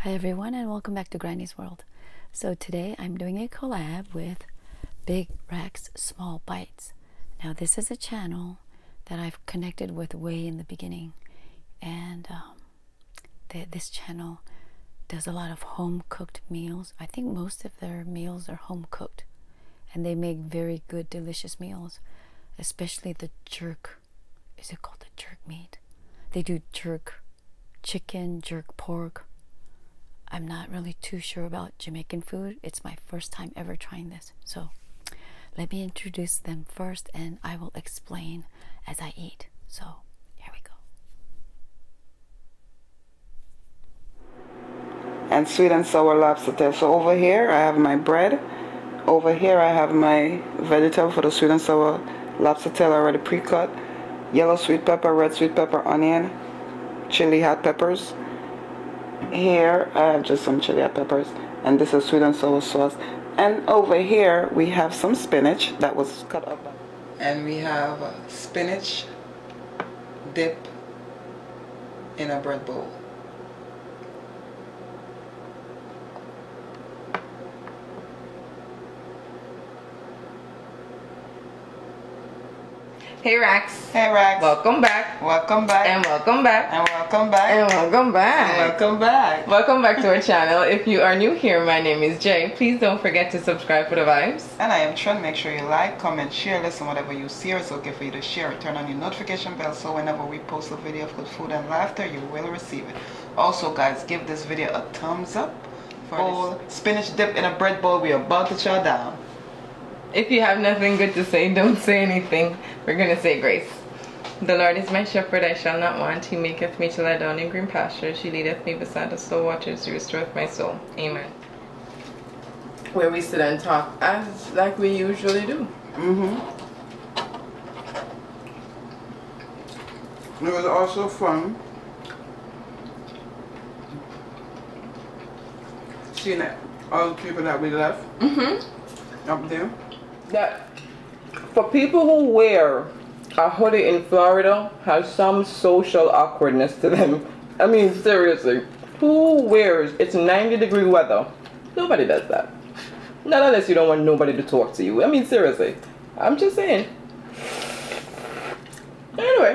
Hi everyone and welcome back to Granny's World. So today I'm doing a collab with Big Rex Small Bite. Now, this is a channel that I've connected with way in the beginning, and um, this channel does a lot of home cooked meals. I think most of their meals are home cooked, and they make very good, delicious meals, especially the jerk. Is it called the jerk meat? They do jerk chicken, jerk pork, I'm not really too sure about Jamaican food. It's my first time ever trying this. So let me introduce them first and I will explain as I eat. So here we go. And sweet and sour lobster tail. So over here I have my bread. Over here I have my vegetable for the sweet and sour lobster tail already pre-cut yellow sweet pepper, red sweet pepper, onion, chili hot peppers. Here I have just some chili hot peppers and this is sweet and sour sauce. And over here we have some spinach that was cut up. And we have spinach dip in a bread bowl. Hey Rex. Hey Rex. Welcome back. Welcome back. And welcome back. And welcome back. And welcome back. And welcome back. Welcome back to our channel. If you are new here, my name is Jay. Please don't forget to subscribe for the vibes. And I am Trin. Make sure you like, comment, share, listen, whatever you see it's okay for you to share. Turn on your notification bell so whenever we post a video of good food and laughter, you will receive it. Also guys, give this video a thumbs up bowl, spinach dip in a bread bowl. We're about to chow down. If you have nothing good to say, don't say anything. We're going to say grace. The Lord is my shepherd, I shall not want. He maketh me to lie down in green pastures. He leadeth me beside the still waters. He restoreth my soul. Amen. Where we sit and talk as like we usually do. Mm-hmm. It was also fun Seeing that all the people that we left mm -hmm. up there. That for people who wear a hoodie in Florida has some social awkwardness to them. I mean seriously. Who wears it's 90 degree weather? Nobody does that. Not unless you don't want nobody to talk to you. I mean seriously. I'm just saying. Anyway.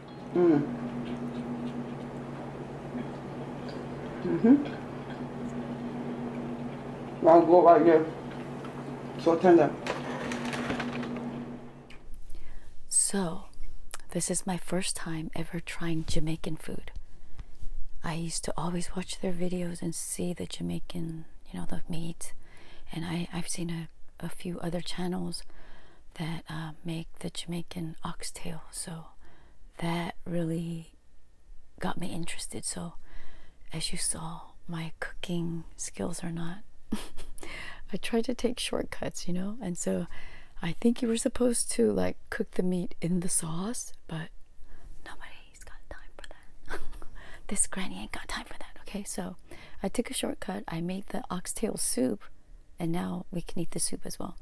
Mm. hmm Now go right here. So tender. So, this is my first time ever trying Jamaican food. I used to always watch their videos and see the Jamaican, you know, the meat. And I, I've seen a, a few other channels that uh, make the Jamaican oxtail. So that really got me interested. So, as you saw, my cooking skills are not. I tried to take shortcuts, you know, and so I think you were supposed to like cook the meat in the sauce, but nobody's got time for that. this granny ain't got time for that, okay? So I took a shortcut. I made the oxtail soup and now we can eat the soup as well.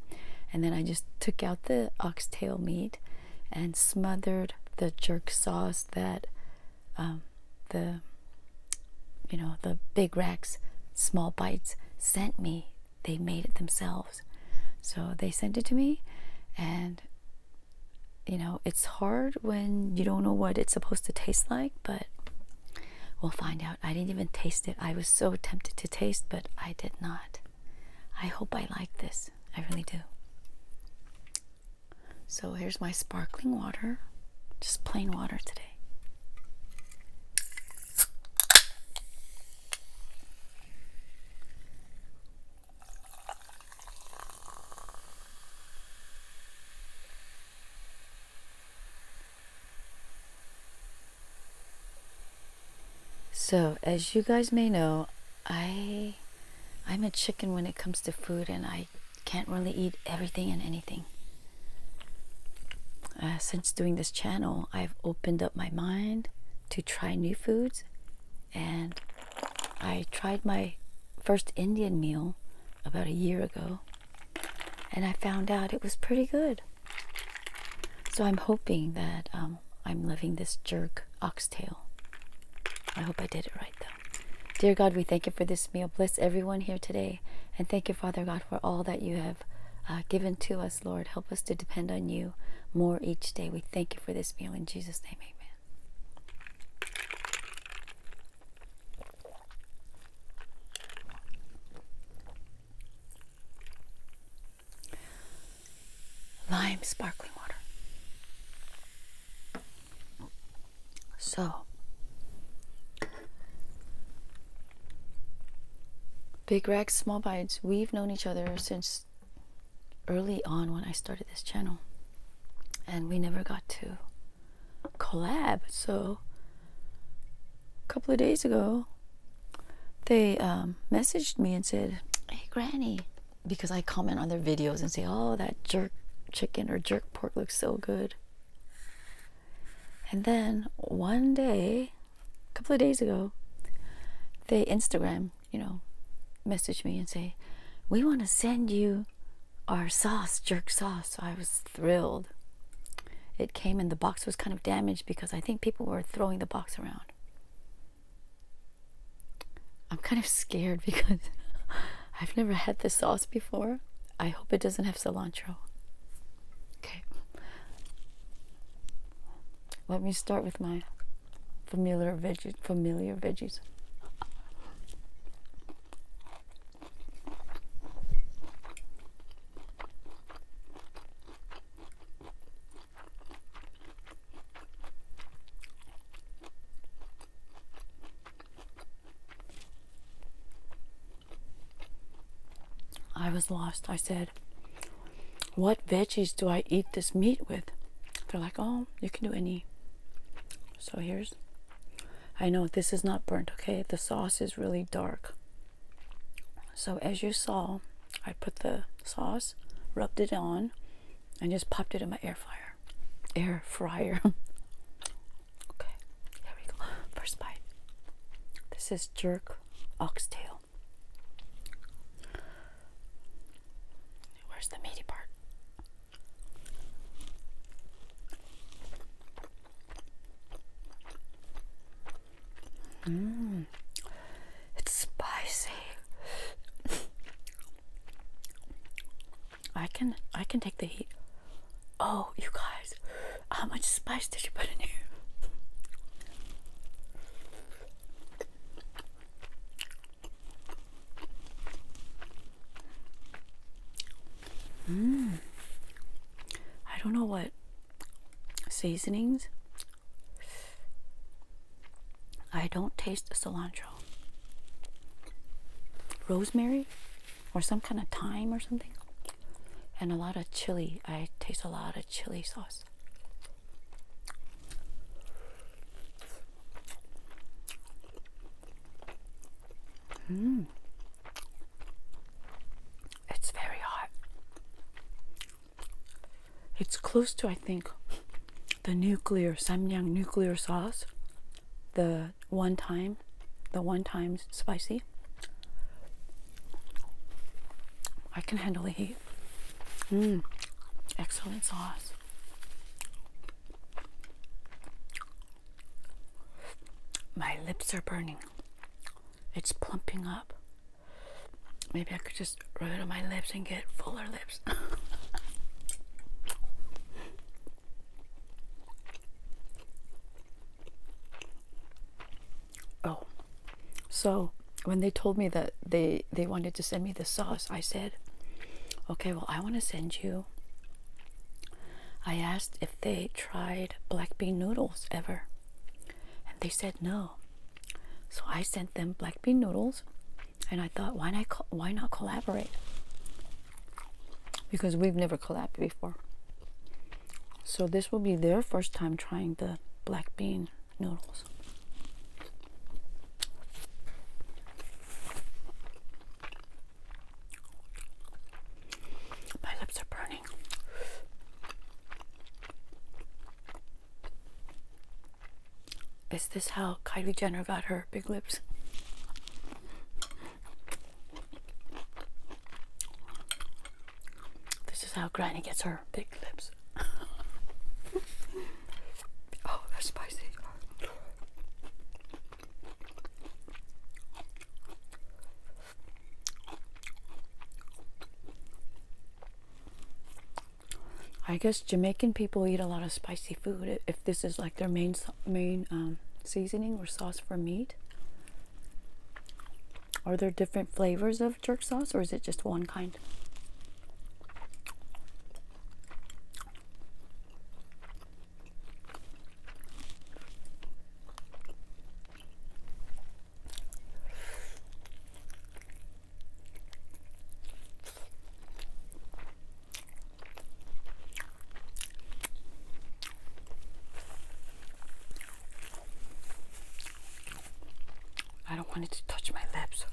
And then I just took out the oxtail meat and smothered the jerk sauce that um, the you know the big racks small bites sent me. They made it themselves, so they sent it to me, and you know it's hard when you don't know what it's supposed to taste like, but we'll find out. I didn't even taste it. I was so tempted to taste, but I did not. I hope I like this. I really do. So here's my sparkling water, just plain water today. So, as you guys may know, I I'm a chicken when it comes to food and I can't really eat everything and anything. Uh, since doing this channel, I've opened up my mind to try new foods and I tried my first Indian meal about a year ago and I found out it was pretty good. So I'm hoping that um, I'm loving this jerk oxtail. I hope I did it right, though. Dear God, we thank you for this meal. Bless everyone here today. And thank you, Father God, for all that you have uh, given to us, Lord. Help us to depend on you more each day. We thank you for this meal. In Jesus' name, amen. Lime sparkling water. So, Big racks, Small Bites, we've known each other since early on when I started this channel. And we never got to collab, so a couple of days ago, they um, messaged me and said, Hey, Granny, because I comment on their videos and say, Oh, that jerk chicken or jerk pork looks so good. And then one day, a couple of days ago, they Instagram, you know, message me and say, We want to send you our sauce, jerk sauce. I was thrilled. It came and the box was kind of damaged because I think people were throwing the box around. I'm kind of scared because I've never had this sauce before. I hope it doesn't have cilantro. Okay. Let me start with my familiar veggie familiar veggies. I was lost. I said, What veggies do I eat this meat with? They're like, Oh, you can do any. So here's I know this is not burnt, okay? The sauce is really dark. So as you saw, I put the sauce, rubbed it on, and just popped it in my air fryer. Air fryer. okay, here we go. First bite. This is jerk oxtail. Where's the meaty part? Mm, it's spicy. I can I can take the heat. Oh, you guys, how much spice did you put in here? Mm. I don't know what seasonings. I don't taste cilantro. Rosemary or some kind of thyme or something. And a lot of chili. I taste a lot of chili sauce. Mm. It's very hot. It's close to, I think, the nuclear Samyang nuclear sauce, the one time, the one time spicy. I can handle the heat. Mmm, excellent sauce. My lips are burning. It's plumping up. Maybe I could just rub it on my lips and get fuller lips. oh, so when they told me that they they wanted to send me the sauce, I said, "Okay, well, I want to send you I asked if they tried black bean noodles ever, and they said no. So I sent them black bean noodles, and I thought, why not, why not collaborate? Because we've never collaborated before. So this will be their first time trying the black bean noodles. My lips are burning. Is this how Kylie Jenner got her big lips? This is how Granny gets her big lips. oh, they spicy. I guess Jamaican people eat a lot of spicy food. If this is like their main main um, seasoning or sauce for meat, are there different flavors of jerk sauce, or is it just one kind? I don't want it to touch my lips.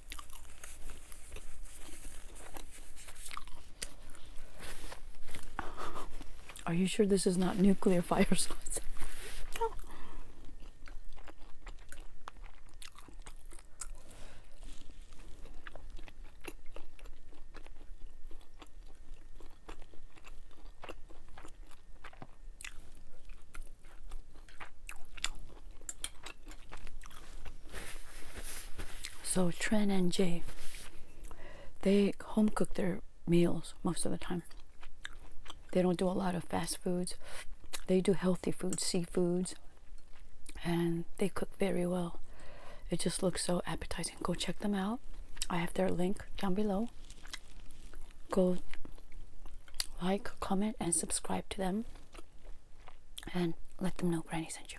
Are you sure this is not nuclear fire so Tren and Jay, they home cook their meals most of the time. They don't do a lot of fast foods. They do healthy foods, seafoods, and they cook very well. It just looks so appetizing. Go check them out. I have their link down below. Go like, comment, and subscribe to them and let them know Granny sent you.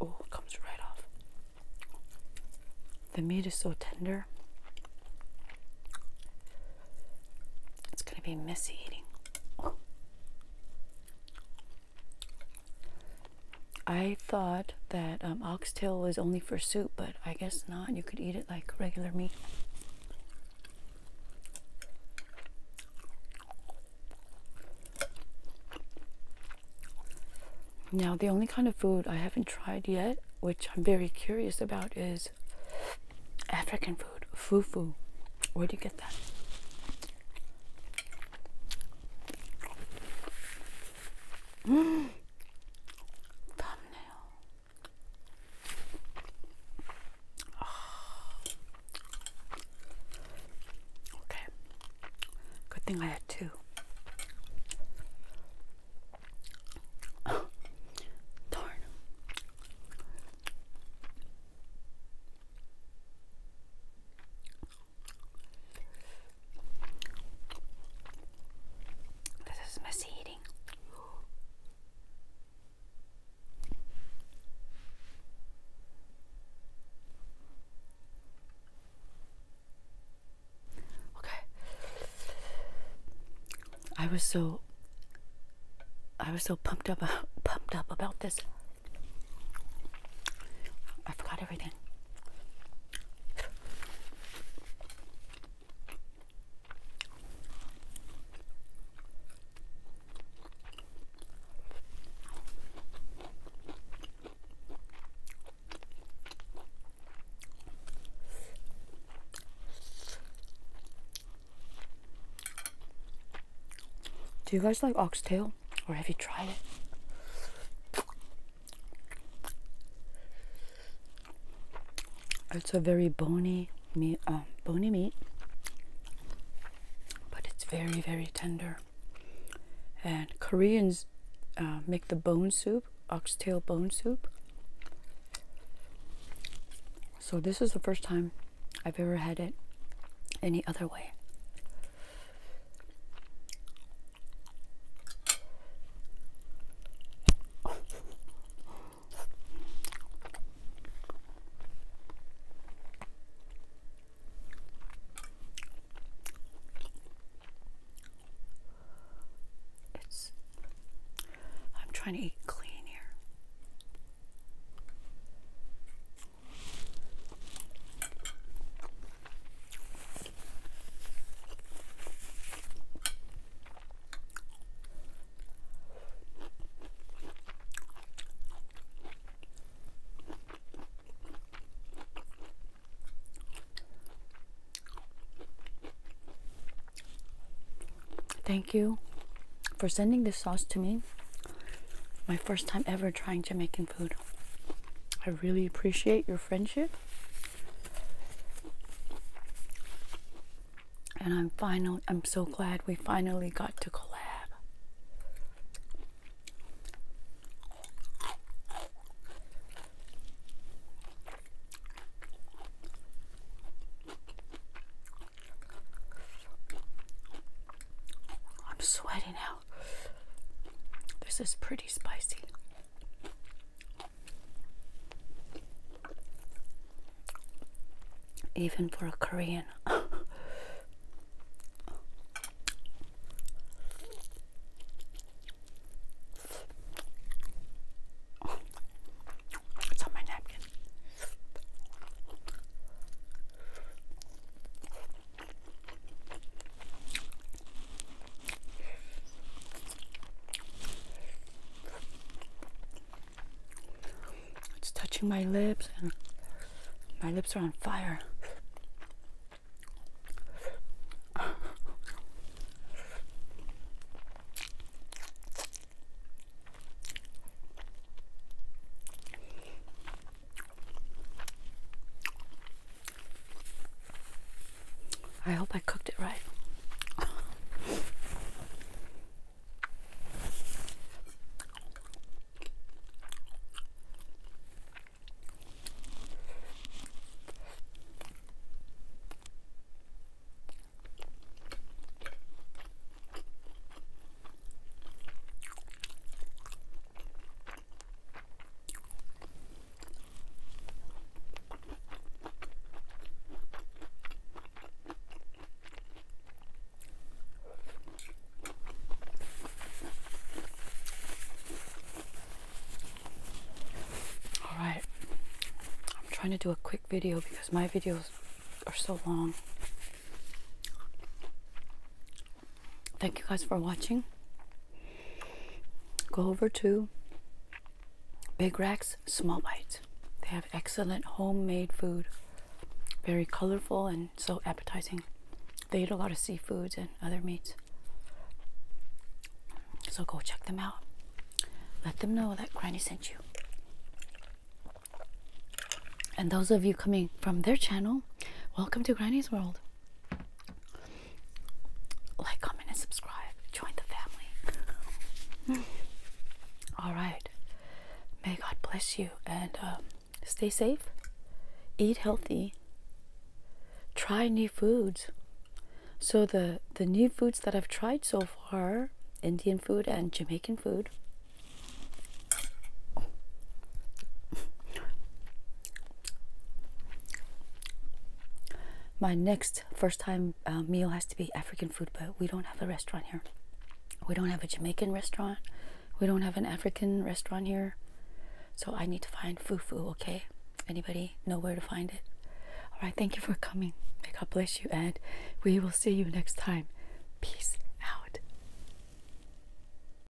Oh, it comes right off. The meat is so tender. It's going to be messy eating. I thought that um, oxtail was only for soup, but I guess not. You could eat it like regular meat. Now, the only kind of food I haven't tried yet, which I'm very curious about, is African food, fufu. Where do you get that? Okay. Good thing I had two. Darn. This is messy eating. Okay. I was so I was so pumped up pumped up about this. I forgot everything. Do you guys like oxtail or have you tried it? It's a very bony meat, uh, bony meat, but it's very very tender. And Koreans uh, make the bone soup, oxtail bone soup. So this is the first time I've ever had it any other way. I'm trying to eat clean here. Thank you for sending this sauce to me. My first time ever trying Jamaican food. I really appreciate your friendship and I'm finally, I'm so glad we finally got to collab. I'm sweating out. This is pretty spicy. Even for a Korean. it's on my napkin. It's touching my lips and my lips are on fire. I hope I cooked it right. All right, I'm trying to do a quick video because my videos are so long. Thank you guys for watching. Go over to Big Racks Small Bites. They have excellent homemade food, very colorful and so appetizing. They eat a lot of seafoods and other meats. So go check them out. Let them know that Granny sent you. And those of you coming from their channel, welcome to Granny's World. Like, comment, and subscribe. Join the family. All right. May God bless you and um, stay safe. Eat healthy. Try new foods. So the the new foods that I've tried so far, Indian food and Jamaican food. My next first time uh, meal has to be African food, but we don't have a restaurant here. We don't have a Jamaican restaurant. We don't have an African restaurant here. So I need to find fufu, okay? Anybody know where to find it? All right, thank you for coming. May God bless you, and we will see you next time. Peace out.